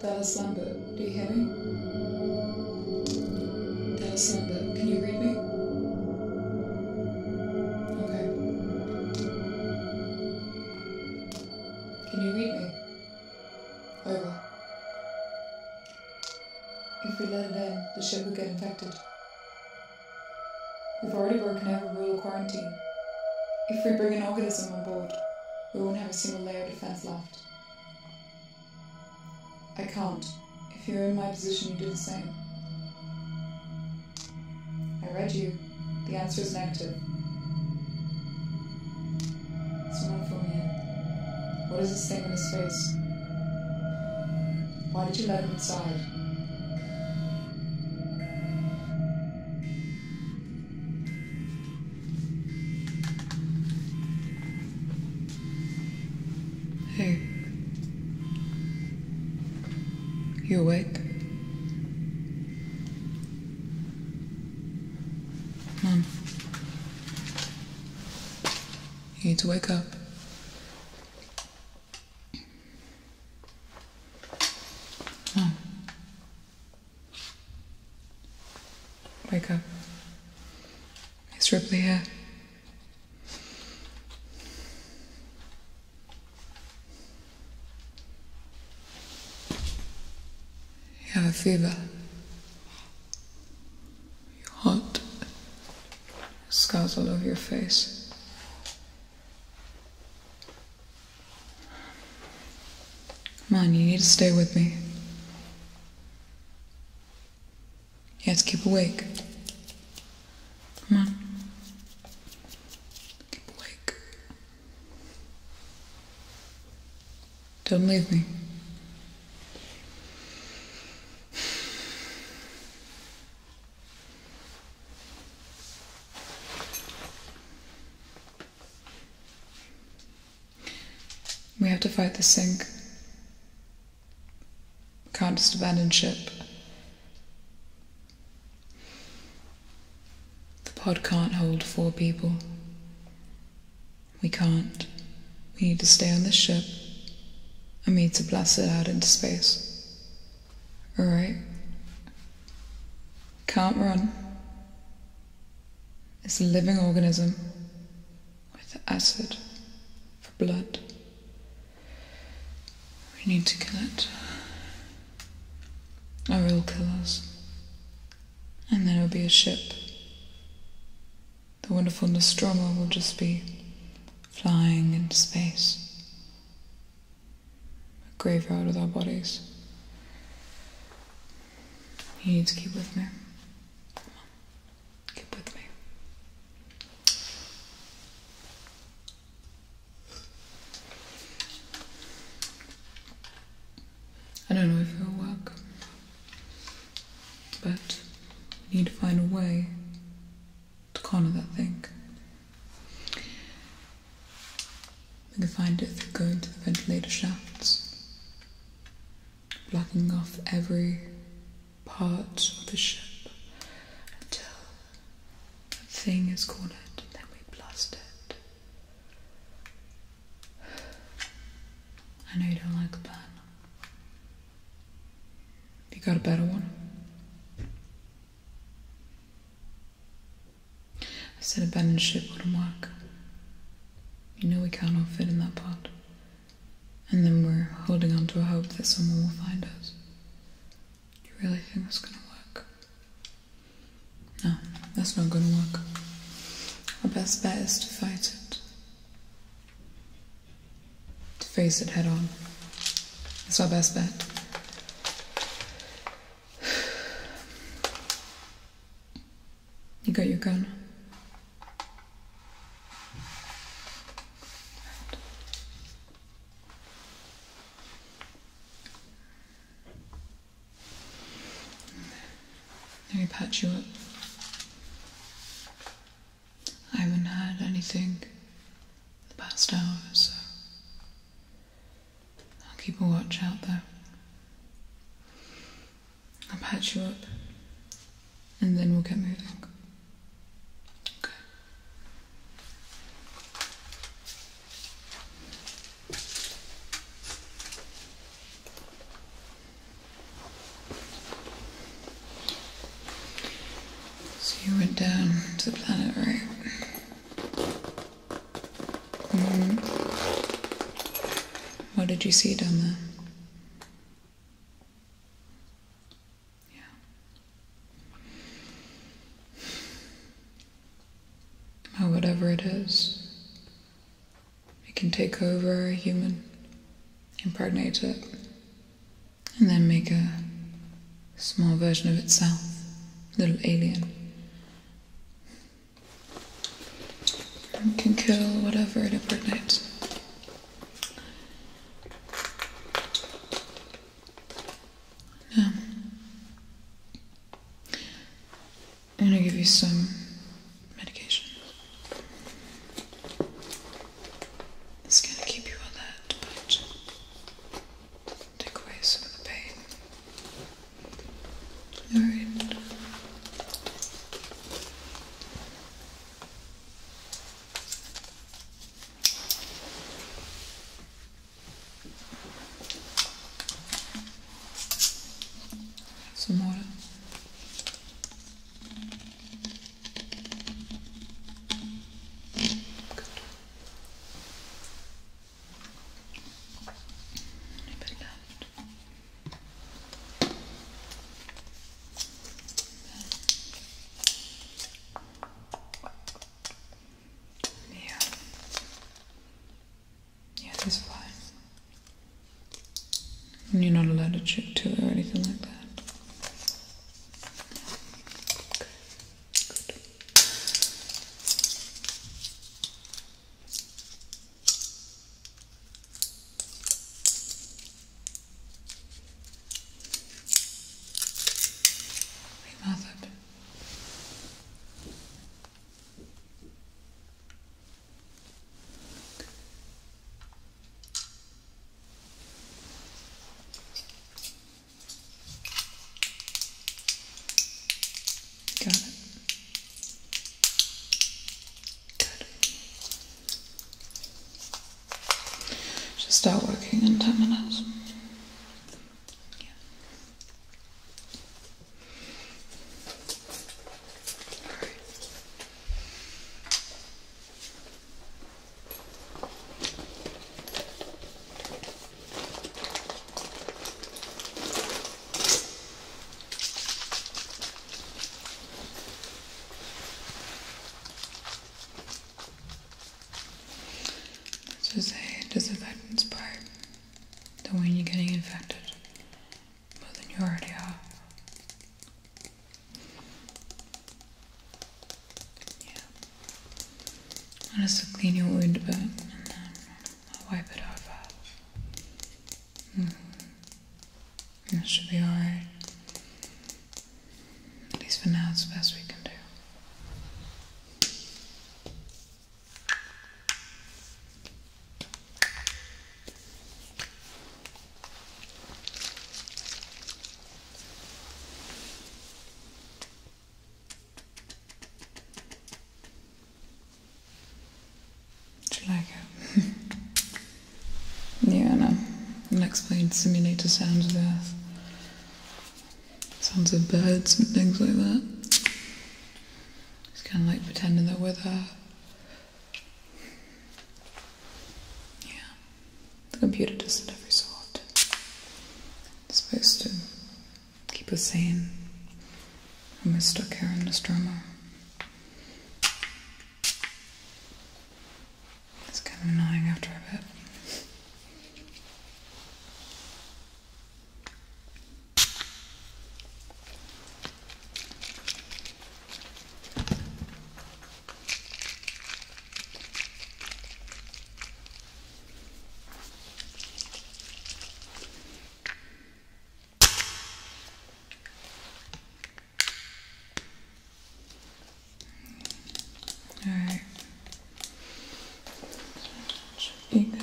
Dallas Lombo, do you hear me? Dallas Lombo, can you read me? Okay. Can you read me? Over. If we let it the ship will get infected. We've already broken every rule of quarantine. If we bring an organism on board, we won't have a single layer of defense left. I can't. If you're in my position, you do the same. I read you. The answer is negative. Someone fill me What is this thing in his face? Why did you let him inside? Hey. You awake? Mom. You need to wake up. Hmm. Wake up. Is Ripley here? You have a fever. You're hot. Scars all over your face. Come on, you need to stay with me. You have to keep awake. Come on. Keep awake. Don't leave me. We have to fight the sink. Can't just abandon ship. The pod can't hold four people. We can't. We need to stay on this ship and need to blast it out into space. Alright. Can't run. It's a living organism with acid for blood. We need to kill it. Or it'll kill us. And then it'll be a ship. The wonderful Nostromo will just be flying into space, a graveyard with our bodies. You need to keep with me. Come on, keep with me. I don't know if it'll work, but we need to find a way to corner that thing. we can find it through going to the ventilator shafts, blocking off every part of the ship until the thing is cornered then we blast it. I know you don't like the you got a better one? I said abandon ship wouldn't work. You know we can't all fit in that pot. And then we're holding on to a hope that someone will find us. Do you really think that's gonna work? No, that's not gonna work. Our best bet is to fight it to face it head on. It's our best bet. You got your gun? Let me patch you up. I haven't had anything the past hour, so I'll keep a watch out though. I'll patch you up and then we'll get moving. Okay. So you went down to the planet, right? hmm What did you see down there? Yeah. Or whatever it is, it can take over a human impregnate it, and then make a small version of itself, a little alien. And can kill whatever it impregnates. Now, I'm going to give you some medication. It's going keep you alert, but take away some of the pain. Alright. Some water. Put it out. Yeah. Yeah, this is fine. You're not allowed to chip too or anything like that. Okay. Good. Got it. Good. Should start working in ten minutes. Yeah. All right. This is a disadvantage part, the one you're getting infected more than you already are. Yeah. I'll just clean your wound a then I'll wipe it over. Mm -hmm. should be alright. At least for now, it's the best we can do. Do you like it? yeah, I am know. Unexplained simulator sounds of her. Sounds of birds and things like that. It's kind of like pretending they're with her. Yeah. The computer does not every so often. It's supposed to keep us sane. I'm stuck here in this drama. It's kind of annoying after a bit. All right. Should be good.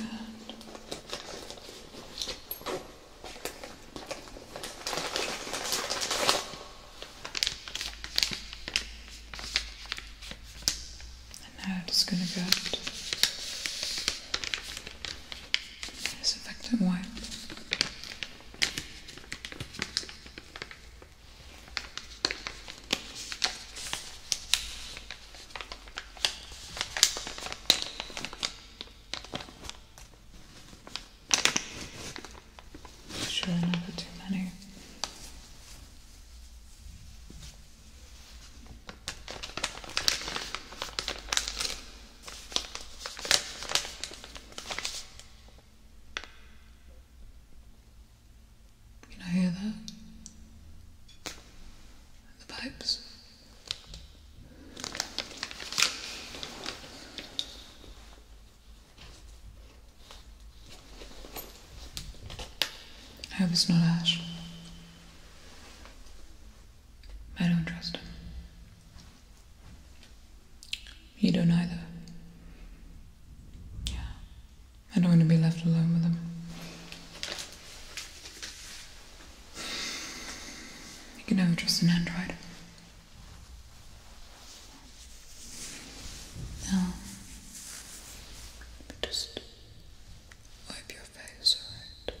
And now I'm just going to go out. There's effective Sure, not too many. Can I hear that? The pipes. I hope it's not Ash. I don't trust him. You don't either. Yeah. I don't want to be left alone with him. You can have just an Android. Now, just wipe your face, alright?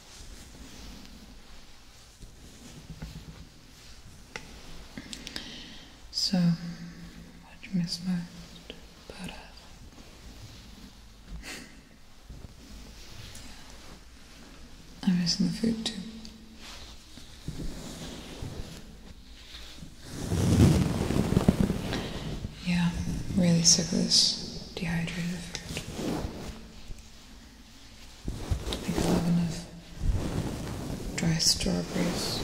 So, what you miss most about yeah. I'm the food too. Yeah, really sick of this dehydrated I think eleven of dry strawberries.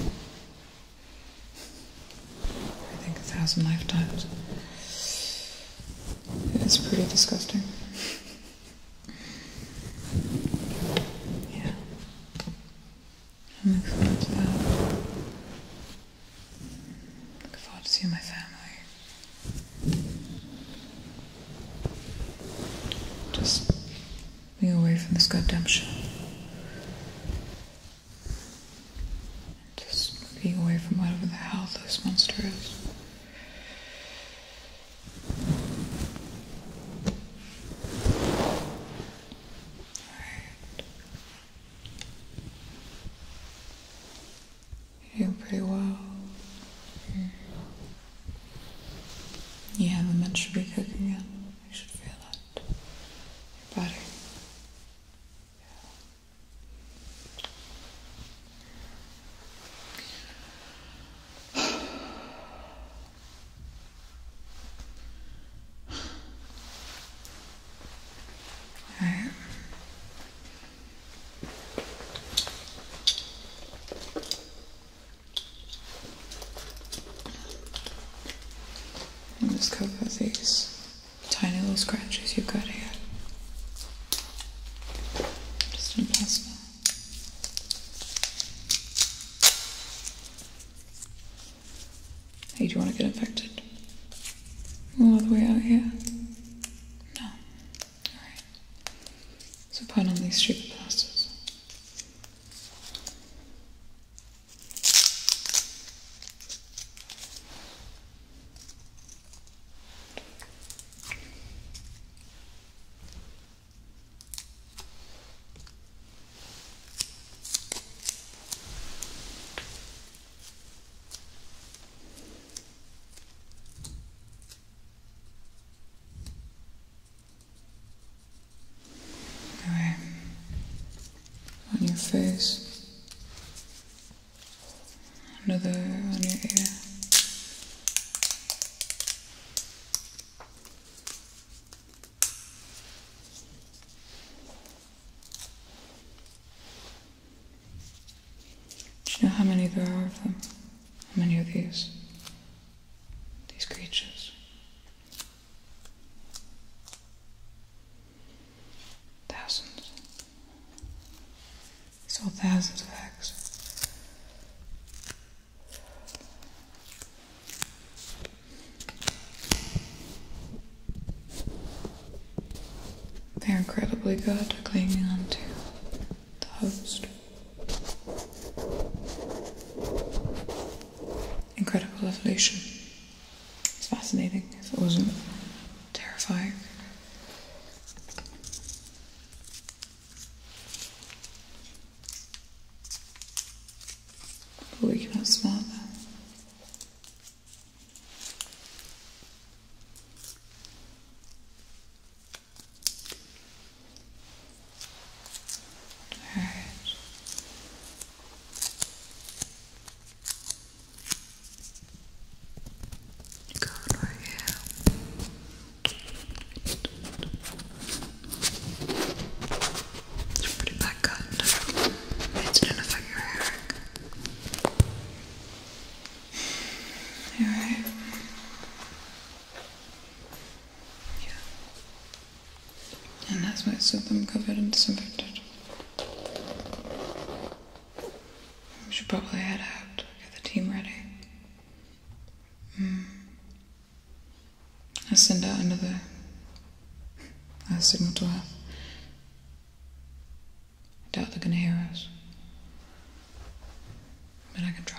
I think a thousand lifetimes. It's pretty disgusting. Yeah. I'm looking forward to Looking forward to seeing my family. Just being away from this goddamn show. Just being away from whatever the hell this monster is. You're pretty well. Yeah, You haven't to be cooking yet. You should feel that. Your body. Yeah. Alright. And just cover these tiny little scratches you've got here. Just in plastic. Hey, do you want to get infected? All the way out here? No. Alright. So put on these stupid plasters. Okay. On your face. Another on your ear. Do you know how many there are of them? How many of these? These creatures? Thousands. I saw thousands of eggs. They're incredibly good at clinging onto the host. Incredible evolution. It's fascinating if it wasn't terrifying. But we cannot smell them. Good. Go over here. It's pretty bad. It's gonna affect your hair. Alright. Yeah. And that's why I said them covered and disinfected. We should probably head out, get the team ready. Mm. I send out another uh, signal to Earth. I doubt they're going to hear us. But I can try.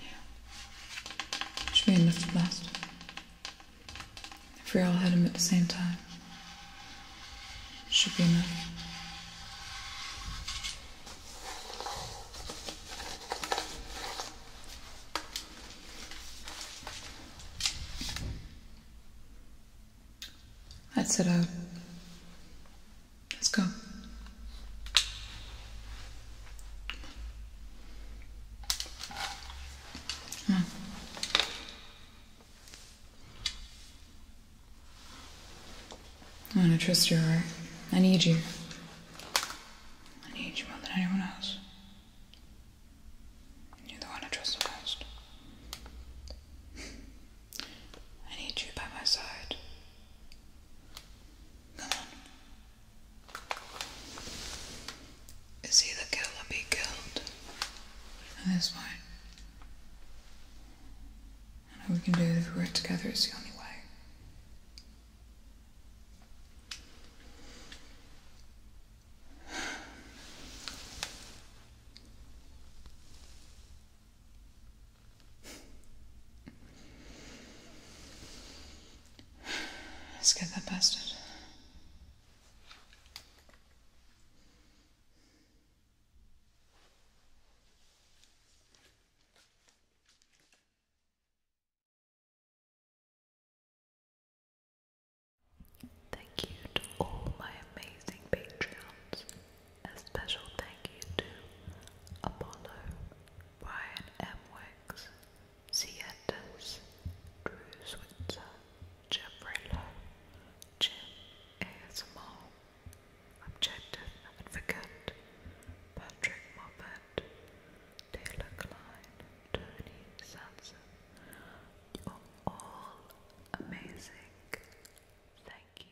Yeah. Should be enough to last. If we all hit him at the same time, should be enough. That's it out. Uh, let's go i want to trust your heart. I need you. I need you more than anyone else. You're the one I trust the most. I need you by my side. Come is he the killer be killed this point? we can do it if we work together, it's the only way. Let's get that bastard. Thank you to all my amazing Patreons. A special thank you to Apollo, Brian M. Wicks, Sietas, Drew Switzer, Jeffrey Lowe, Jim ASMR, Objective Advocate, Patrick Moffat, Taylor Klein, Tony Sanson. You're all amazing. Thank you.